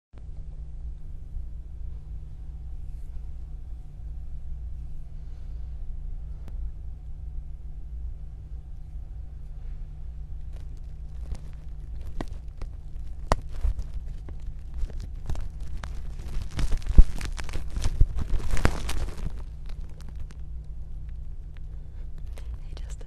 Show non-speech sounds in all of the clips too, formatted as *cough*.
Hey Justin.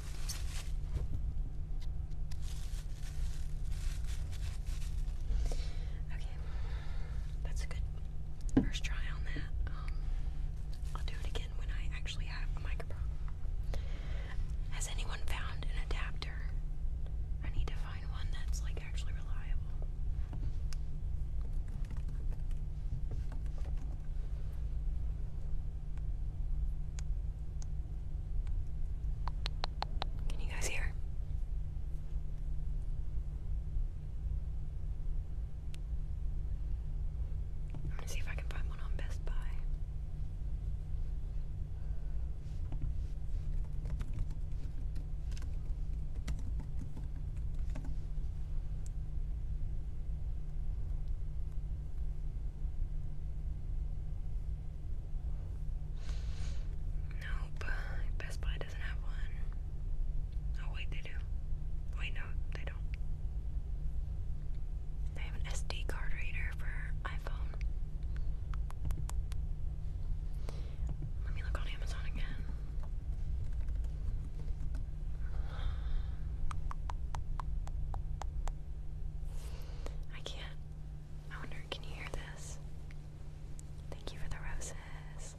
Okay, that's a good first try on that. Um, I'll do it again when I actually have a microphone. Has anyone found an adapter? I need to find one that's like actually reliable. Can you guys hear? I'm gonna see if I can find one on Best Buy. Nope. Best Buy doesn't have one. Oh, wait, they do. Wait, no, they don't. They have an SD card reader for iPhone. Let me look on Amazon again. I can't. I wonder, can you hear this? Thank you for the roses.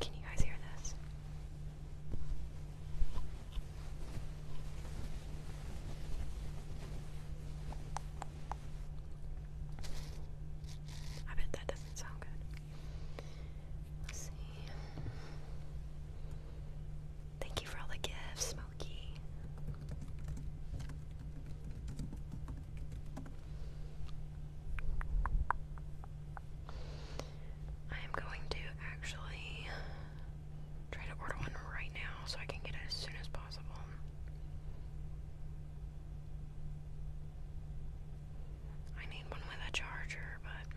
Can you guys hear this? I bet that doesn't sound good. Thank you for all the gifts, Smokey. I am going to actually try to order one right now so I can get it as soon as possible. I need one with a charger, but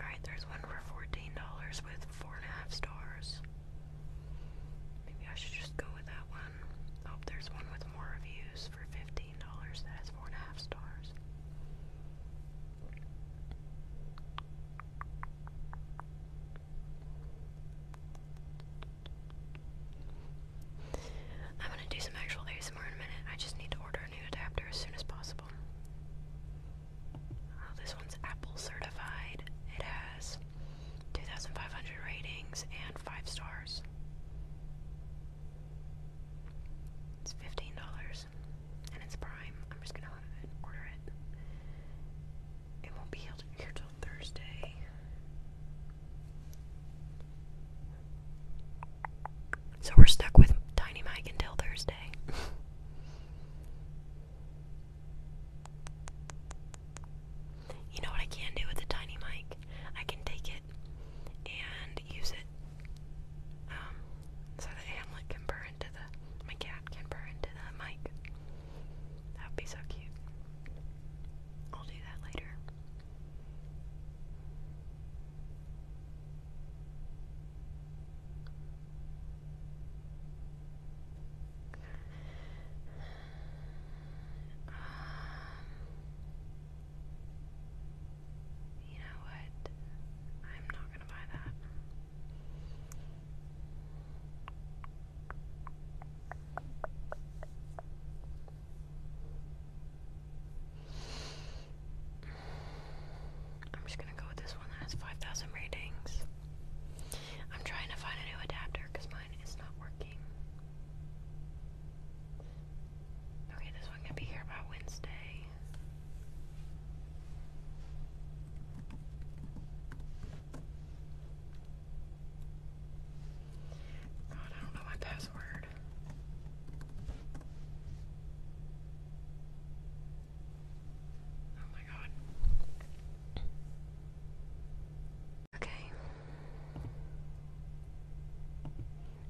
Alright, there's one for $14 with four and a half stars. Maybe I should just go with that one. Oh, there's one with more reviews for $15 that has four and a half stars. I'm gonna do some actual ASMR ASMR a minute. I just need to order a new adapter as soon as possible. Oh, this one's Apple certified. It has 2,500 ratings and 5 stars. It's $15 and it's Prime. I'm just gonna order it. It won't be here till Thursday. So we're stuck with Tiny Mike until Thursday. you know what I can do with the Tiny Mike? I can take it and use it um, so that Hamlet can burn into the, my cat can burn into the mic. That would be so cute. I'll do that later. Um, you know what? I'm not gonna buy that. I'm just gonna go with this one that has 5,000 ratings. I'm trying to find a new adapter because mine is not working. Okay, this one can be here by Wednesday. God, I don't know my password. Oh my god. Okay.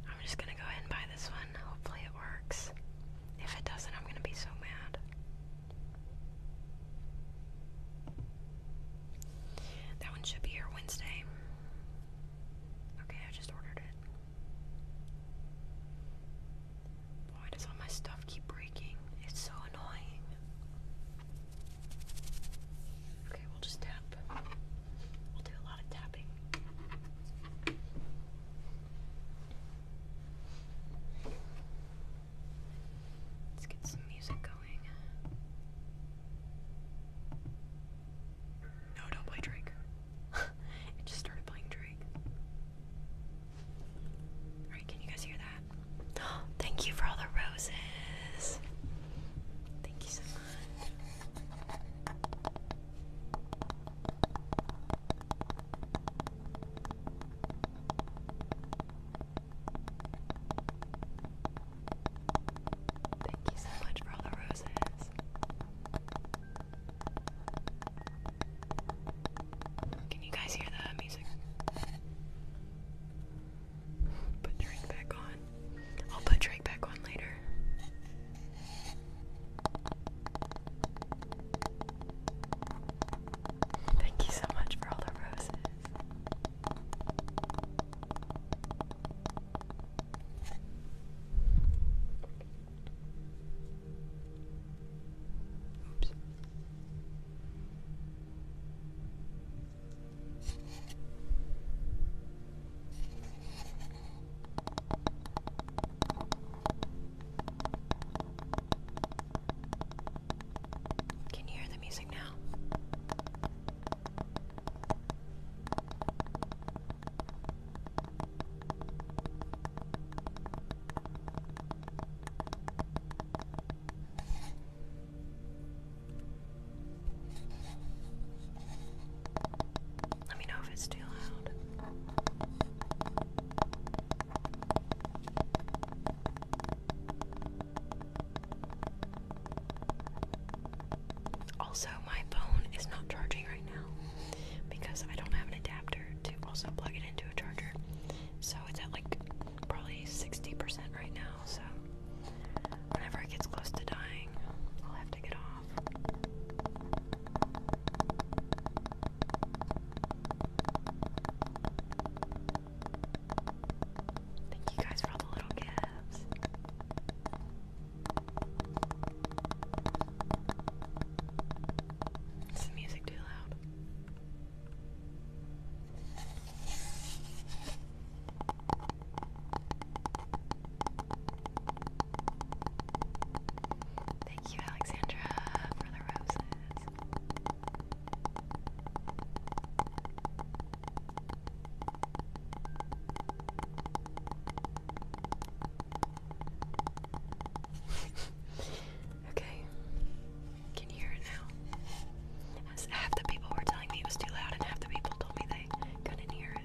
I'm just gonna go ahead and buy this one. Hopefully it works. If it doesn't, I'm gonna be so mad. That one should be here Wednesday. Okay, I just ordered it. Why does all my stuff keep breaking? It's so annoying. Okay, we'll just tap. We'll do a lot of tapping. Let's get some music going. No, don't play Drake. *laughs* it just started playing Drake. Alright, can you guys hear that? *gasps* Thank you for all the roses. Thank you so much. Thank you so much for all the roses. Can you guys hear the music? Put Drake back on. I'll put Drake back on later. Thank you so much for all the roses. Oops. Can you hear the music now? Let me know if it's too loud. Also, my phone is not charging right now because I don't have an adapter to also plug it into a charger. So it's at like probably 60% right now. So whenever it gets close to dying, I'll have to get off. Thank you guys for all the little gifts. Is the music too loud? Thank you, Alexandra, for the roses. *laughs* okay. Can you hear it now? half the people were telling me it was too loud, and half the people told me they couldn't hear it.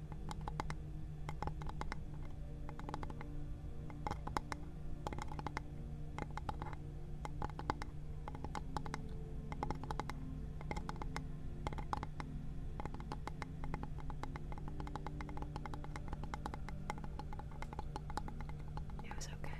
It was okay.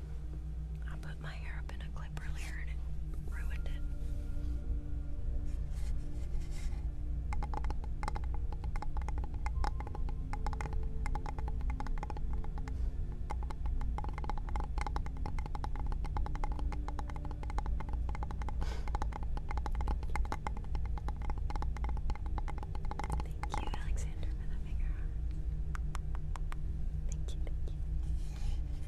I put my hair up in a clip earlier and it ruined it. Thank you, Alexander, for the finger. Thank you, thank you.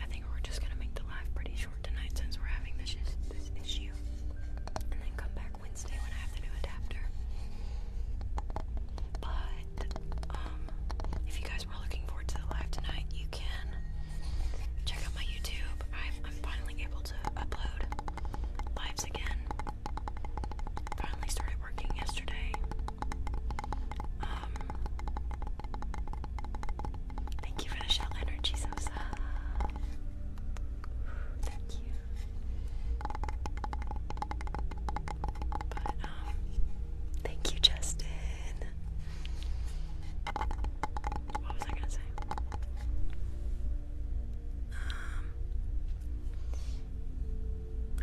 I think we're just gonna make the live pretty short tonight since we're having this, this issue. And then come back Wednesday when I have the new adapter. But, um, if you guys were looking forward to the live tonight, you can check out my YouTube. I'm, I'm finally able to upload lives again. Finally started working yesterday. Um, thank you for the shell energy, Sosa. Thank you. But um, thank you, Justin. What was I gonna say?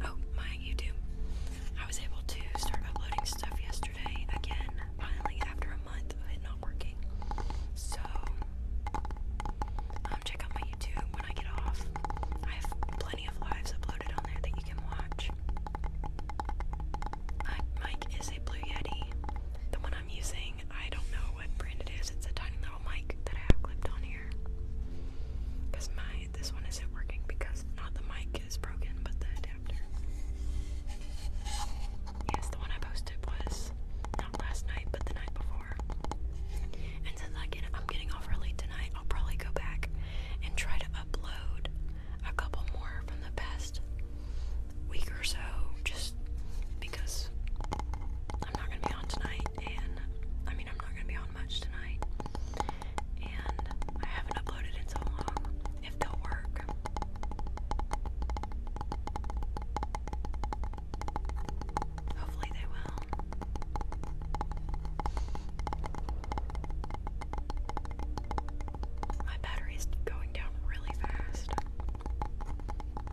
Um, oh, my YouTube. I was able to start uploading stuff yesterday again, finally, after a month of it not working. So, um, check out my YouTube when I get off. I have plenty of lives uploaded on there that you can watch. My is a Blue Yeti. The one I'm using, I don't know what brand it is. It's a tiny little mic that I clipped on here. Cause my this one isn't working because not the mic is broken, but the adapter. Yes, the one I posted was not last night, but the night before. And since I'm getting off early tonight, I'll probably go back and try to upload a couple more from the past week or so just because I'm not going to be on tonight, and I mean, I'm not going to be on much tonight, and I haven't uploaded in so long if they'll work. Hopefully, they will. My battery's going down really fast. Thank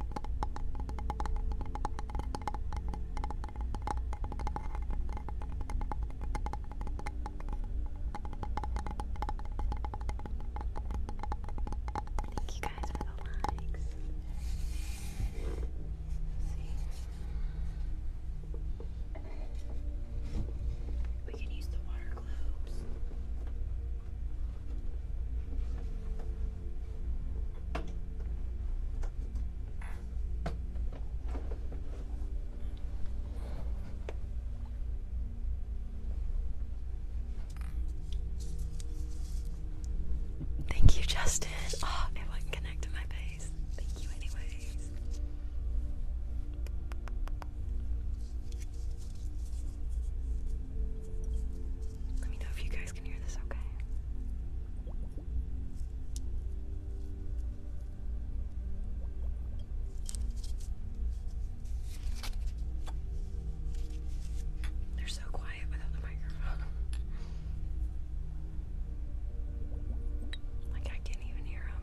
you guys for the likes. See. We can use the water globes. Thank you, Justin. Oh, it wouldn't connect to my face. Thank you, anyways. Let me know if you guys guys can hear this okay. They're so quiet without the microphone. like I can't even hear them.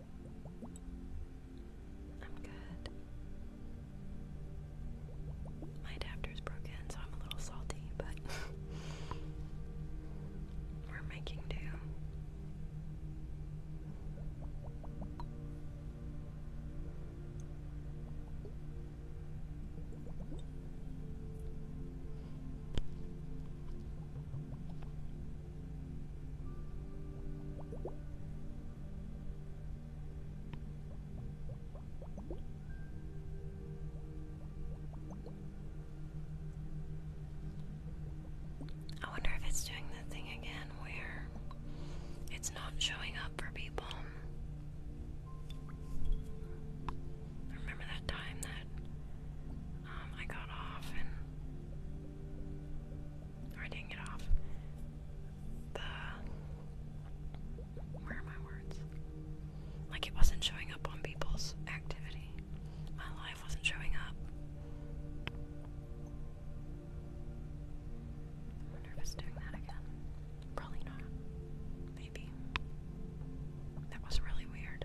I'm good. My adapter's broken, so I'm a little salty, but *laughs* we're making do. I wonder if it's doing the thing again where it's not showing up for people. Remember that time that um, I got off and I didn't get off. The where are my words? Like it wasn't showing up on people's activity. My life wasn't showing up. I doing that again. Probably not. Maybe. That was really weird.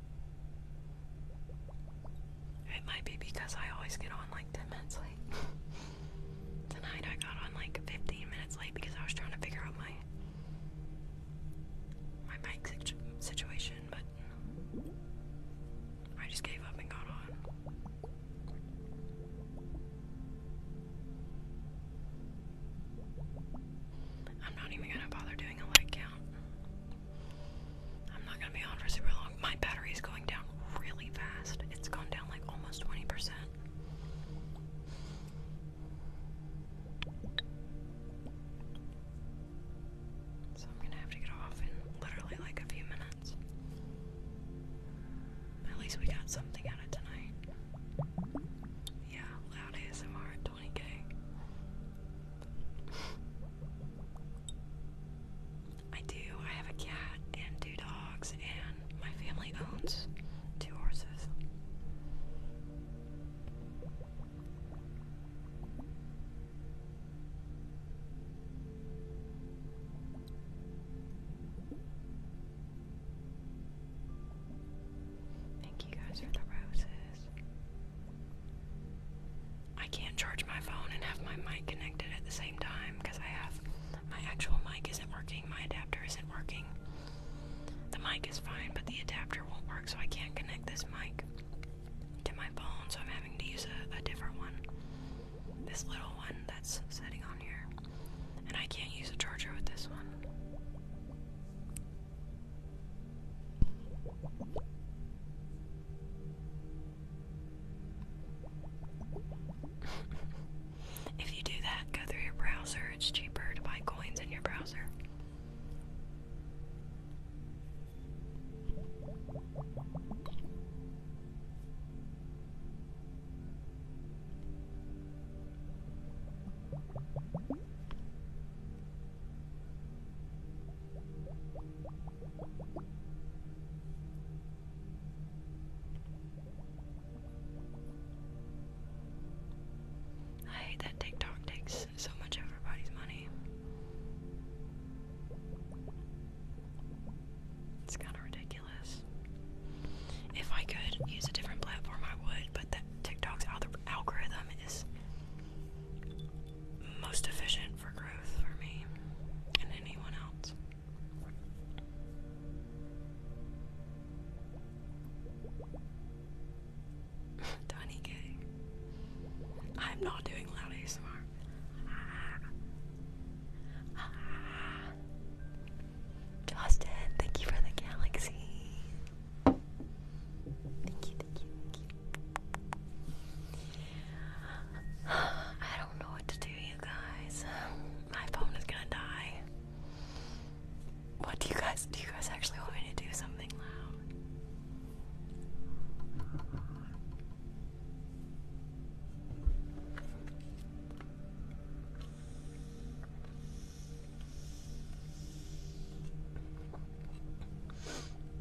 It might be because I always get on like 10 minutes late. *laughs* Tonight I got on like 15 minutes late because I was trying to figure out my my mic situation, but I just gave up and got on. I'm not even gonna bother doing a leg count. I'm not gonna be on for super long. My battery is going down really fast. It's gone down like almost 20%. So I'm gonna have to get off in literally like a few minutes. At least we got something out of tonight. Yeah, loud ASMR 20k. I do. I have a cat and two dogs, and my family owns two horses. Thank you guys for the roses. I can't charge my phone and have my mic connected at the same time because I have my actual mic isn't working, my adapter isn't working. The mic is fine, but the adapter won't work, so I can't connect this mic to my phone, so I'm having to use a, different one. This little one that's sitting on here. And I can't use a charger with this one if you do that, go through your browser. It's cheaper to buy coins in your browser. I hate that TikTok takes so much of everybody's money. It's kind of ridiculous. If I could use a different platform, I would, but TikTok's algorithm is most efficient for growth for me and anyone else. *laughs* Twenty K. I'm not doing loud ASMR. *laughs* Justin, thank you for the galaxy. Thank you, thank you, thank you. *sighs* I don't know what to do, you guys. *sighs* My phone is gonna die. What do you guys do? You guys actually want me to do something loud?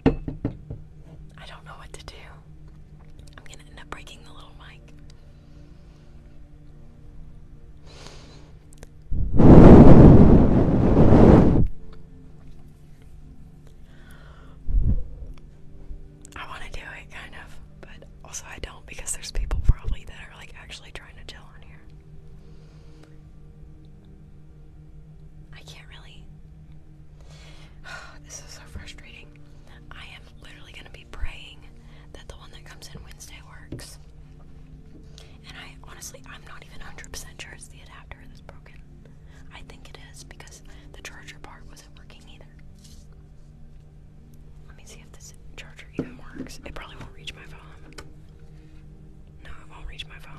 I don't know what to do. I'm going to end up breaking the little mic. I want to do it, kind of, but also I don't because there's people probably that are like actually trying to chill on here. I can't really. *sighs* this is so frustrating. I am literally going to be praying that the one that comes in Wednesday works. And I honestly, I'm not even 100 sure it's the adapter that's broken. I think it is because the charger part wasn't working either. Let me see if this charger even works. It probably won't reach my phone. No, it won't reach my phone.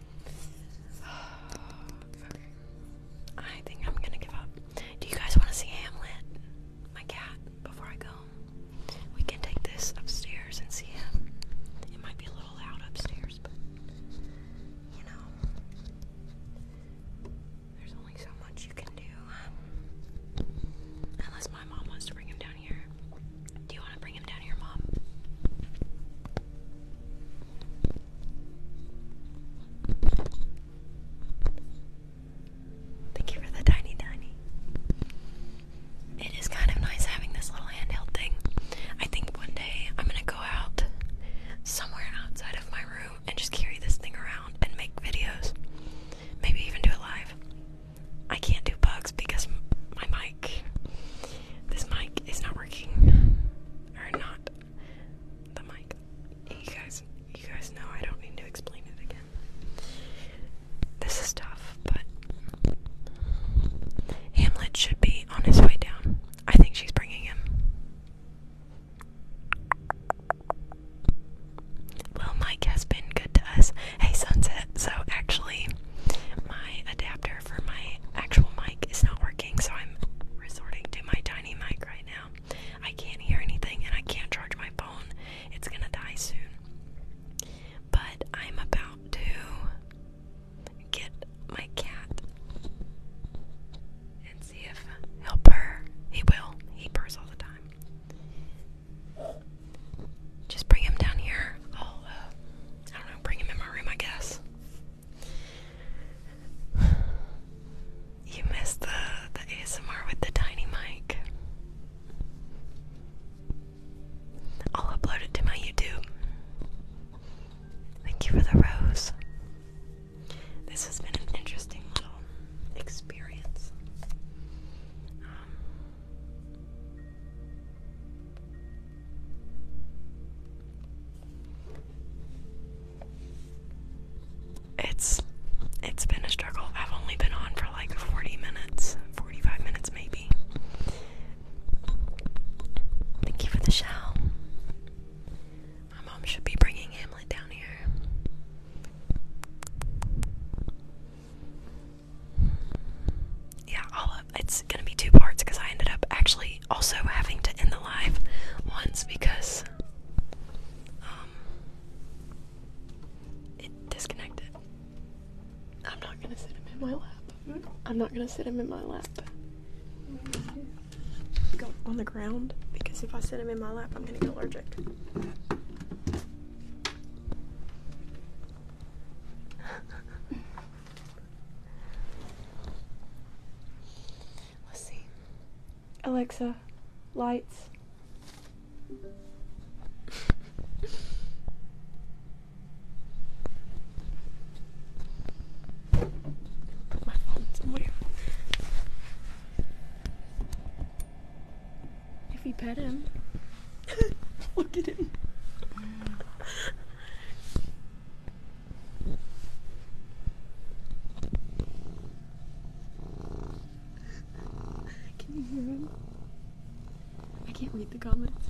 *sighs* I think I'm gonna give up. Do you guys want to see Hamlet, my cat, before I go? We can take this upstairs and see him. It might be a little loud upstairs, but you know, there's only so much you can do. Unless my mom wants to bring him down do you want to bring him down here, Mom? Thank you for the tiny, tiny. It is kind of nice having this little handheld thing. I think one day I'm gonna go out somewhere outside of my room and just carry this thing around and make videos. Maybe even do a live. I can't do bugs because my mic this mic is not working. Or not the mic. You guys you guys know I don't need to explain it again. This is tough, but Hamlet should be on his way down. I think she's bringing him. Well, Mike has been good to us. Hey, Sunset. So, actually, my adapter for my actual mic is not working, so I'm resorting to my tiny mic right now. I can't hear anything and I can't charge my phone. It's gonna die soon. But I'm about to get my cat and see if he'll purr. He will. He purrs all the time. Just bring him down here. I'll, uh, I don't know, bring him in my room, I guess. You missed the, the ASMR with the tiny mic. I'll upload it to my YouTube. Thank you for the rose. This has been an interesting little experience. Um, it's it's been a struggle. I've only been on for like 40 minutes, 45 minutes maybe. Thank you for the shell. My mom should be bringing Hamlet down here yeah, it's gonna be two parts because I ended up actually also having to end the live once because um, it disconnected. I'm not gonna sit him in my lap. I'm not gonna sit him in my lap. Go on the ground because if I sit him in my lap, I'm gonna get allergic. *laughs* Let's see. Alexa, lights. My phone's weird. If you pet him, *laughs* look at him. *laughs* Can you hear him? I can't read the comments.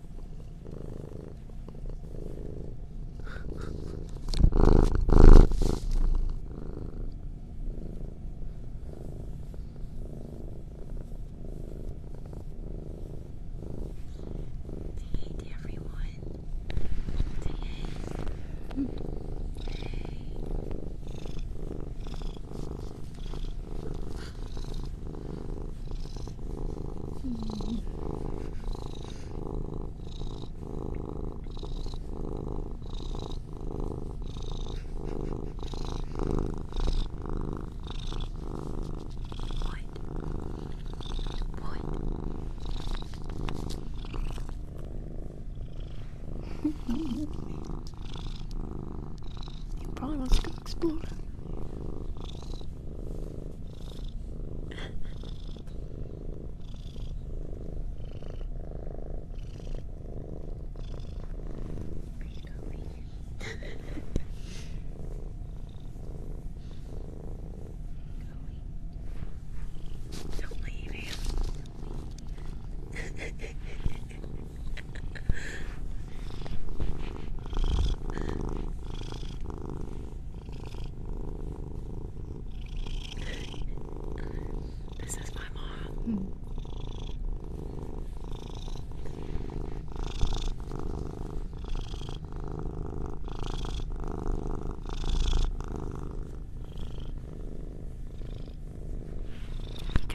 Date everyone. Date. Hey. Brian wants to go explore. Are you going? going? Don't leave him. Don't leave. *laughs* *laughs* This is my mom. Got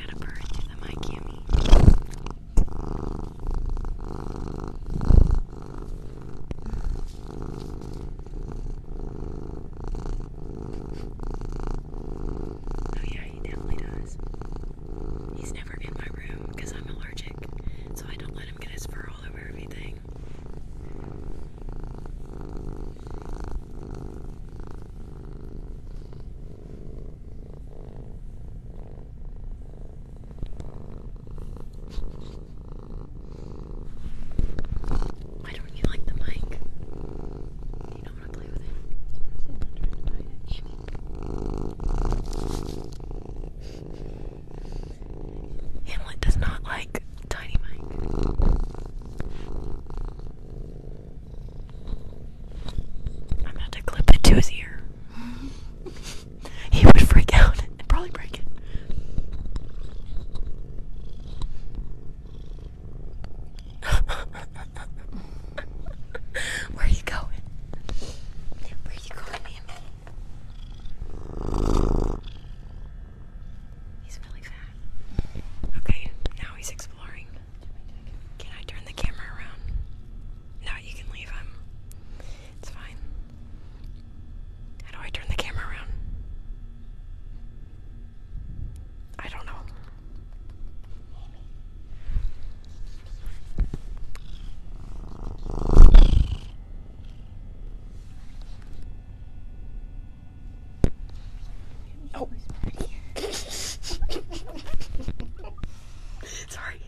a bird through the mic, Yummy. Oh, yeah, he definitely does. He's never in my room because I'm allergic, so I don't let him get his fur all over everything. Why don't you like the mic? Do you not want to play with it? It's it. Hamlet does not like tiny mic. I'm about to clip it to his ear. *laughs* he would freak out and probably break it. *laughs* Where are you going? Where are you going, Mammy? He's really fat. Okay, now he's exploring. Can I turn the camera around? No, you can leave him. It's fine. How do I turn the camera around? I don't know. Oh. *laughs* Sorry.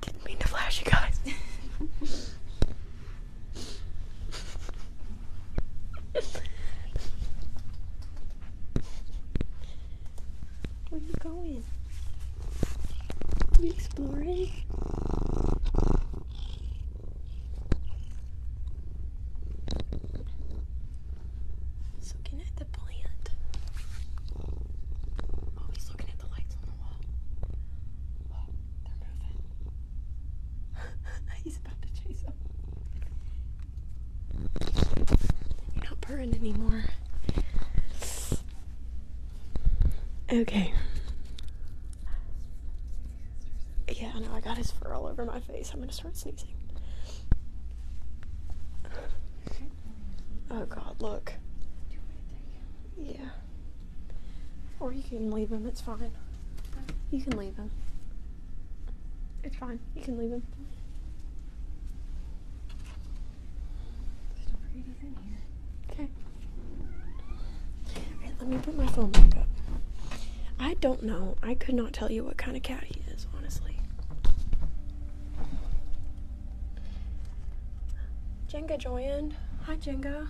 Didn't mean to flash you guys. Where you going? you exploring? looking at the plant. Oh, he's looking at the lights *laughs* He's about to chase them. You're not purring anymore. Okay. Yeah, I know, I got his fur all over my face. I'm gonna start sneezing. Oh God, look. Yeah. Or you can leave him. It's fine. You can leave him. It's fine. You can leave him. Okay. let me put my phone back up. I don't know. I could not tell you what kind of cat he is, honestly. Jenga joined. Hi, Jenga.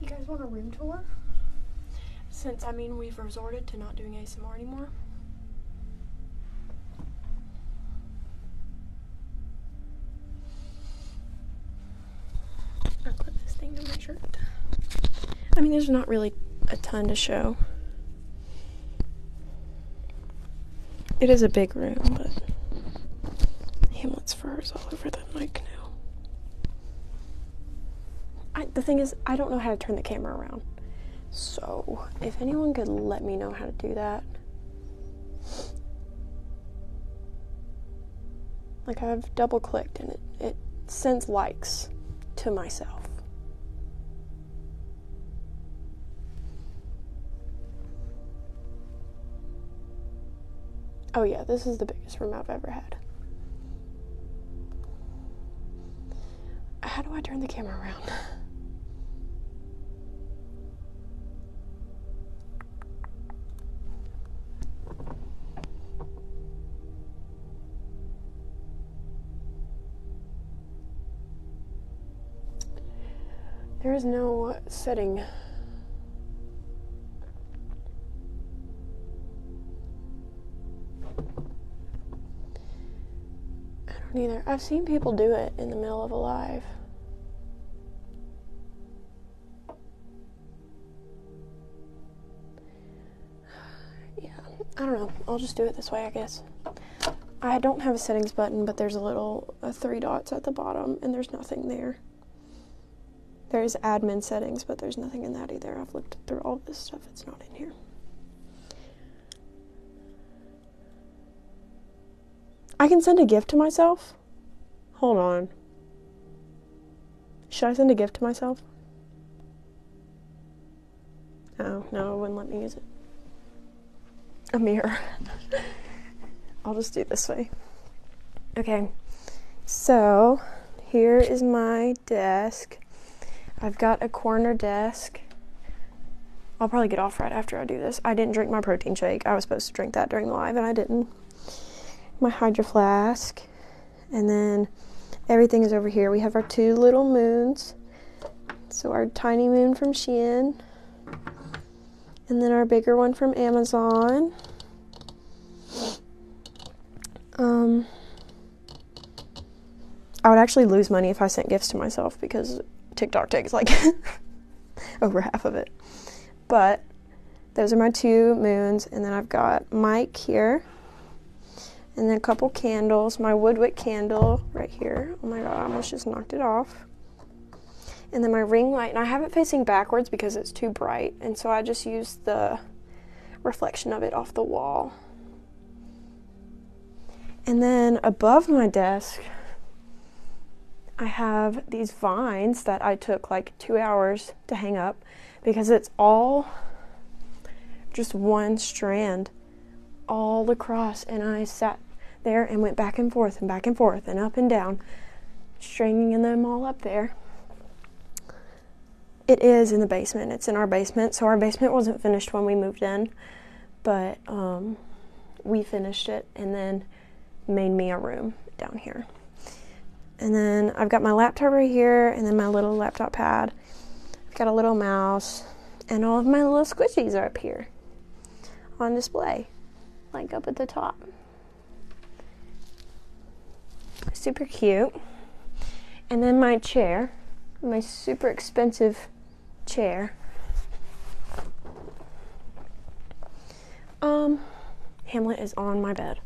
You guys want a room tour? Since, I mean, we've resorted to not doing ASMR anymore. I clip this thing to my shirt. I mean, there's not really a ton to show. It is a big room, but Hamlet's fur is all over the mic now. the thing is, I don't know how to turn the camera around. So, if anyone could let me know how to do that. Like I've double clicked and it, it sends likes to myself. Oh, yeah, this is the biggest room I've ever had. How do I turn the camera around? *laughs* There is no setting. I don't either. I've seen people do it in the middle of a live. *sighs* Yeah, I don't know. I'll just do it this way, I guess. I don't have a settings button, but there's a little three dots at the bottom, and there's nothing there. There's admin settings, but there's nothing in that either. I've looked through all this stuff, it's not in here. I can send a gift to myself? Hold on. Should I send a gift to myself? Oh, no, it wouldn't let me use it. A mirror. *laughs* I'll just do this way. Okay, so here is my desk. I've got a corner desk. I'll probably get off right after I do this. I didn't drink my protein shake. I was supposed to drink that during the live and I didn't my hydro flask, and then everything is over here. We have our two little moons. So our tiny moon from Shein, and then our bigger one from Amazon. Um, I would actually lose money if I sent gifts to myself because TikTok takes like *laughs* over half of it. But those are my two moons. And then I've got Mike here. And then a couple candles. My Woodwick candle right here. Oh my god, I almost just knocked it off. And then my ring light. And I have it facing backwards because it's too bright. And so I just use the reflection of it off the wall. And then above my desk, I have these vines that I took like two hours to hang up because it's all just one strand all across. And I sat there and went back and forth and back and forth and up and down, stringing them all up there. It is in the basement. It's in our basement. So our basement wasn't finished when we moved in, but um, we finished it. And then made me a room down here. And then I've got my laptop right here, and then my little laptop pad. I've got a little mouse, and all of my little squishies are up here on display, like up at the top. Super cute. And then my chair, my super expensive chair. Um, Hamlet is on my bed.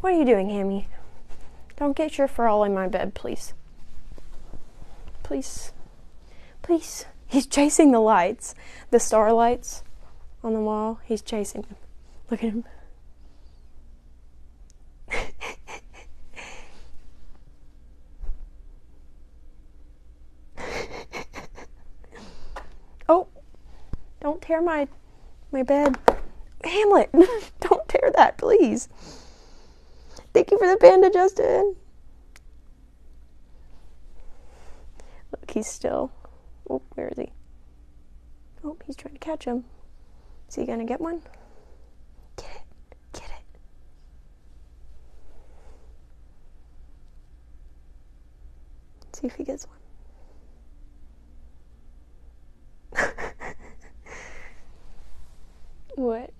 What are you doing, Hammy? Don't get your fur all in my bed, please. Please. Please. He's chasing the lights, the starlights on the wall. He's chasing them. Look at him. *laughs* oh, don't tear my my bed. Hamlet, *laughs* don't tear that, please. Thank you for the panda, Justin. Look, he's still. Oh, where is he? Oh, he's trying to catch him. Is he gonna get one? Get it. Get it. See if he gets one. *laughs* what?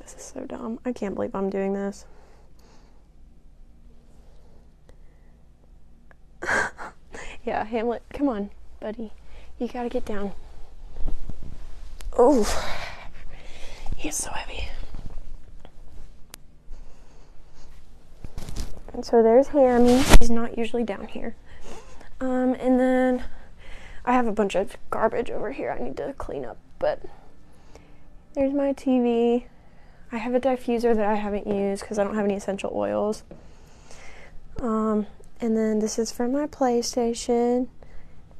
this is so dumb. I can't believe I'm doing this. *laughs* yeah, Hamlet, come on, buddy. You gotta get down. Oh, he's so heavy. And so there's Hammy. He's not usually down here. Um, and then I have a bunch of garbage over here I need to clean up, but there's my TV. I have a diffuser that I haven't used because I don't have any essential oils. Um, and then this is from my PlayStation.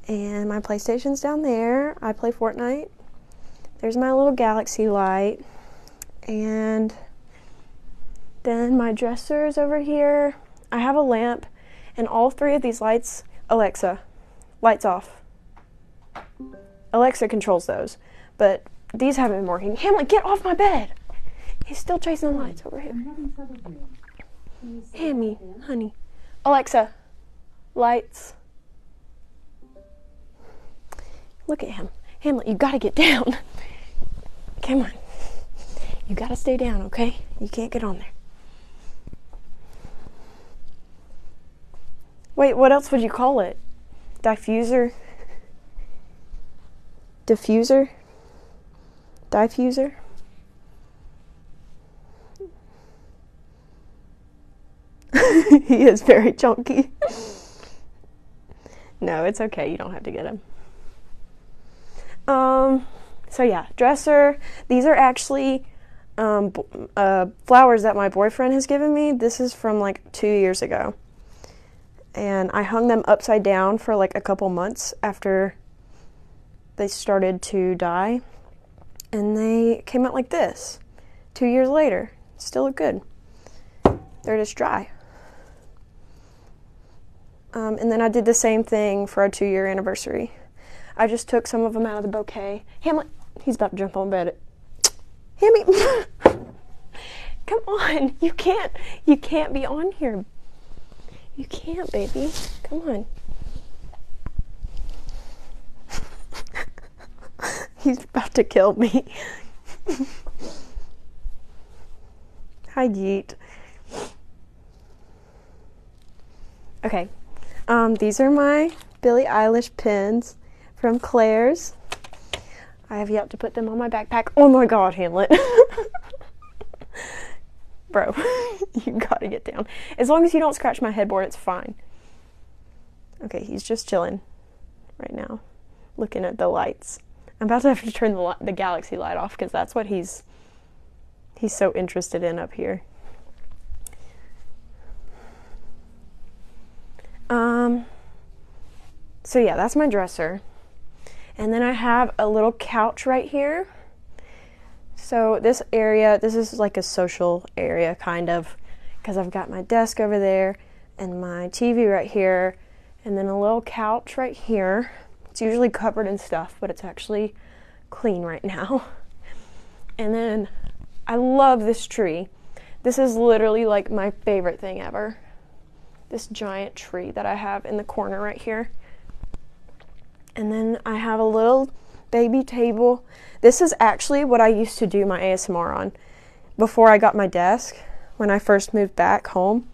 And my PlayStation's down there. I play Fortnite. There's my little galaxy light. And then my dresser is over here. I have a lamp, and all three of these lights, Alexa, lights off. Alexa controls those, but these haven't been working. Hamlet, get off my bed! He's still chasing the lights over here. Hammy, honey. Alexa, lights. Look at him. Hamlet, you gotta get down. Come on. You gotta stay down, okay? You can't get on there. Wait, what else would you call it? Diffuser? Diffuser? Diffuser? *laughs* he is very chunky. no, it's okay. You don't have to get him. Um, so yeah, dresser. These are actually um, uh, flowers that my boyfriend has given me. This is from like two years ago, and I hung them upside down for like a couple months after they started to die and they came out like this. Two years later, still look good. They're just dry. Um, and then I did the same thing for our two year anniversary. I just took some of them out of the bouquet. Hamlet, he's about to jump on bed. *tsk* Hammy, *laughs* come on, you can't, you can't be on here. You can't, baby. Come on. *laughs* *laughs* He's about to kill me. *laughs* Hi, Yeet. Okay, um, these are my Billie Eilish pins from Claire's. I have yet to put them on my backpack. Oh my god, Hamlet. *laughs* Bro, you gotta get down. As long as you don't scratch my headboard, it's fine. Okay, he's just chilling right now, looking at the lights. I'm about to have to turn the, galaxy light off because that's what he's he's so interested in up here. Um, so yeah, that's my dresser. And then I have a little couch right here. So this area, this is like a social area, kind of, because I've got my desk over there and my TV right here, and then a little couch right here. It's usually covered in stuff, but it's actually clean right now. *laughs* And then I love this tree. This is literally like my favorite thing ever. This giant tree that I have in the corner right here. And then I have a little baby table this is actually what I used to do my ASMR on. Before I got my desk, when I first moved back home,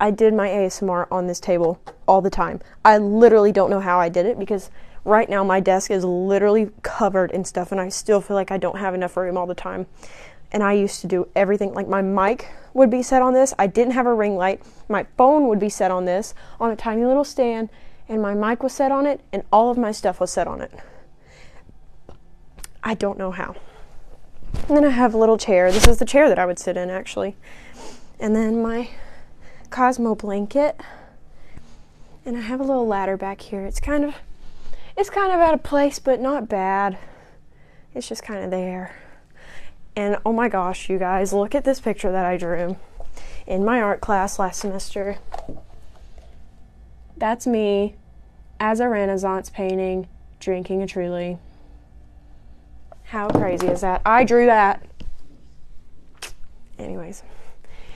I did my ASMR on this table all the time. I literally don't know how I did it because right now my desk is literally covered in stuff and I still feel like I don't have enough room all the time. And I used to do everything like my mic would be set on this. I didn't have a ring light. My phone would be set on this on a tiny little stand and my mic was set on it and all of my stuff was set on it. I don't know how. And then I have a little chair. This is the chair that I would sit in actually. And then my Cosmo blanket. And I have a little ladder back here. It's kind of it's kind of out of place, but not bad. It's just kind of there. And oh my gosh, you guys, look at this picture that I drew in my art class last semester. That's me as a Renaissance painting drinking a truly. How crazy is that? I drew that. Anyways,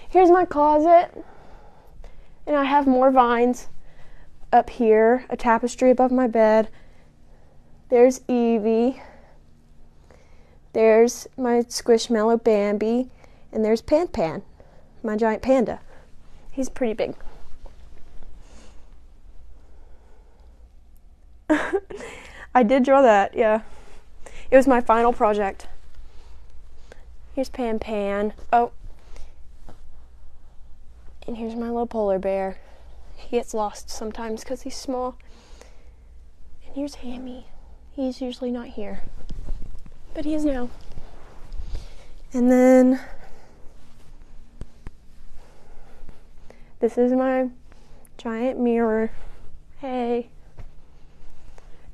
here's my closet. And I have more vines up here, a tapestry above my bed. There's Evie. There's my Squishmallow Bambi. And there's Pan Pan, my giant panda. He's pretty big. *laughs* I did draw that, yeah. It was my final project. Here's Pan Pan. Oh. And here's my little polar bear. He gets lost sometimes because he's small. And here's Hammy. He's usually not here, but he is now. And then this is my giant mirror. Hey.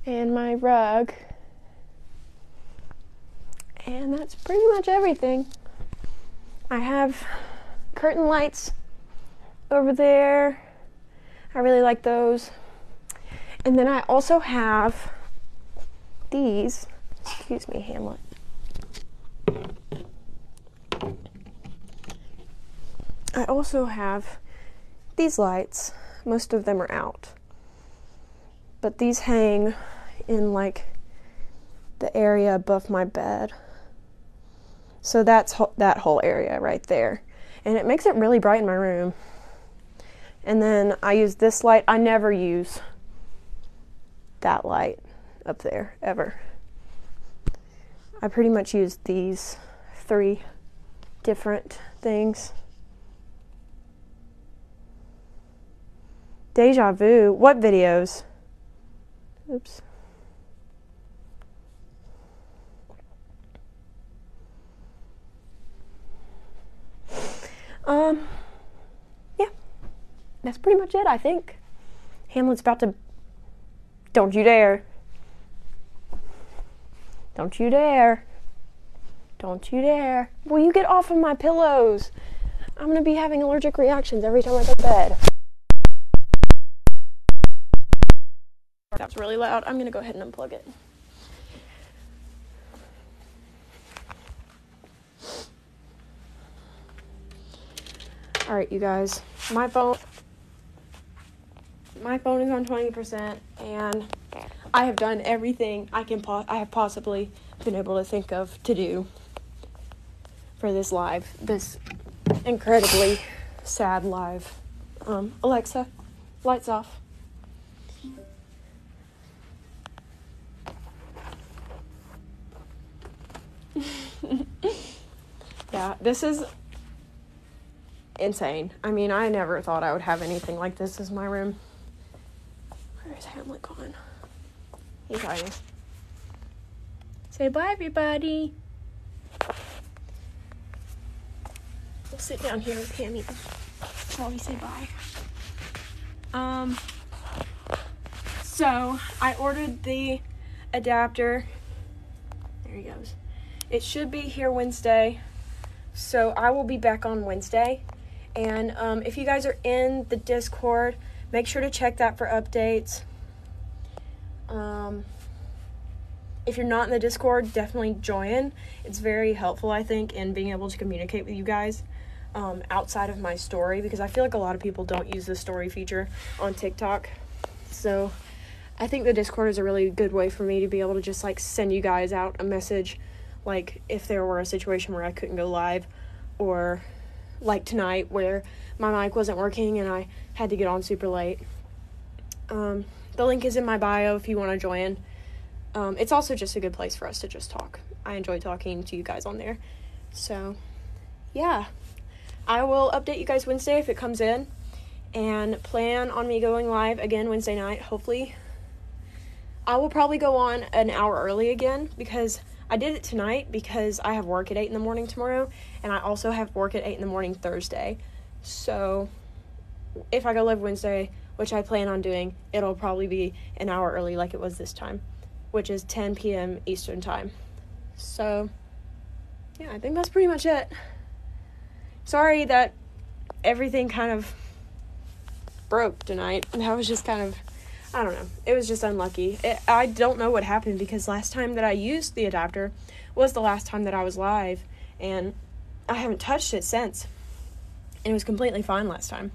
And my rug. And that's pretty much everything. I have curtain lights over there I really like those. And then I also have these. Excuse me, Hamlet. I also have these lights. Most of them are out. But these hang in like the area above my bed. So that's that whole area right there. And it makes it really bright in my room. And then I use this light. I never use that light up there ever. I pretty much use these three different things. Deja vu. What videos? Oops. Um, yeah, that's pretty much it, I think. Hamlet's about to. Don't you dare. Don't you dare. Don't you dare. Will you get off of my pillows? I'm going to be having allergic reactions every time I go to bed. That's really loud. I'm going to go ahead and unplug it. All right, you guys. My phone my phone is on 20% and I have done everything I can I have possibly been able to think of to do for this live. This incredibly sad live. Um, Alexa, lights off. *laughs* yeah, this is insane. I mean, I never thought I would have anything like this as my room. Where is Hamlet gone? He's hiding. Say bye, everybody. We'll sit down here with him while we say bye. Um, so I ordered the adapter. There he goes. It should be here Wednesday. So I will be back on Wednesday. And um, if you guys are in the Discord, make sure to check that for updates. Um, if you're not in the Discord, definitely join. It's very helpful, I think, in being able to communicate with you guys um, outside of my story because I feel like a lot of people don't use the story feature on TikTok. So I think the Discord is a really good way for me to be able to just like send you guys out a message, like if there were a situation where I couldn't go live or like tonight where my mic wasn't working and I had to get on super late. Um, the link is in my bio if you want to join. Um, it's also just a good place for us to just talk. I enjoy talking to you guys on there. So, yeah. I will update you guys Wednesday if it comes in. And plan on me going live again Wednesday night, hopefully. I will probably go on an hour early again because I did it tonight because I have work at 8 in the morning tomorrow and I also have work at 8 in the morning Thursday. So if I go live Wednesday, which I plan on doing, it'll probably be an hour early like it was this time, which is 10 p.m. Eastern Time. So, yeah, I think that's pretty much it. Sorry that everything kind of broke tonight. *laughs* That was just kind of, I don't know, it was just unlucky. I don't know what happened because last time that I used the adapter was the last time that I was live, and I haven't touched it since. And it was completely fine last time.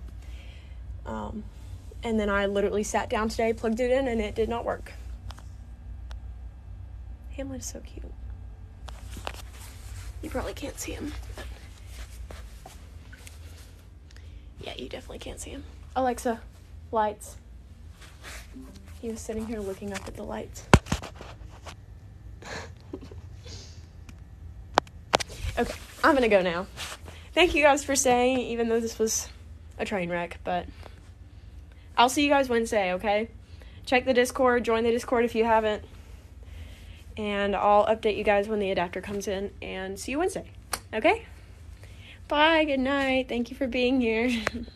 Um, and then I literally sat down today, plugged it in, and it did not work. Hamlet is so cute. You probably can't see him. Yeah, you definitely can't see him. Alexa, lights. He was sitting here looking up at the lights okay, I'm gonna go now. Thank you guys for staying, even though this was a train wreck, but I'll see you guys Wednesday, okay? Check the Discord, join the Discord if you haven't, and I'll update you guys when the adapter comes in, and see you Wednesday, okay? Bye, good night, thank you for being here. *laughs*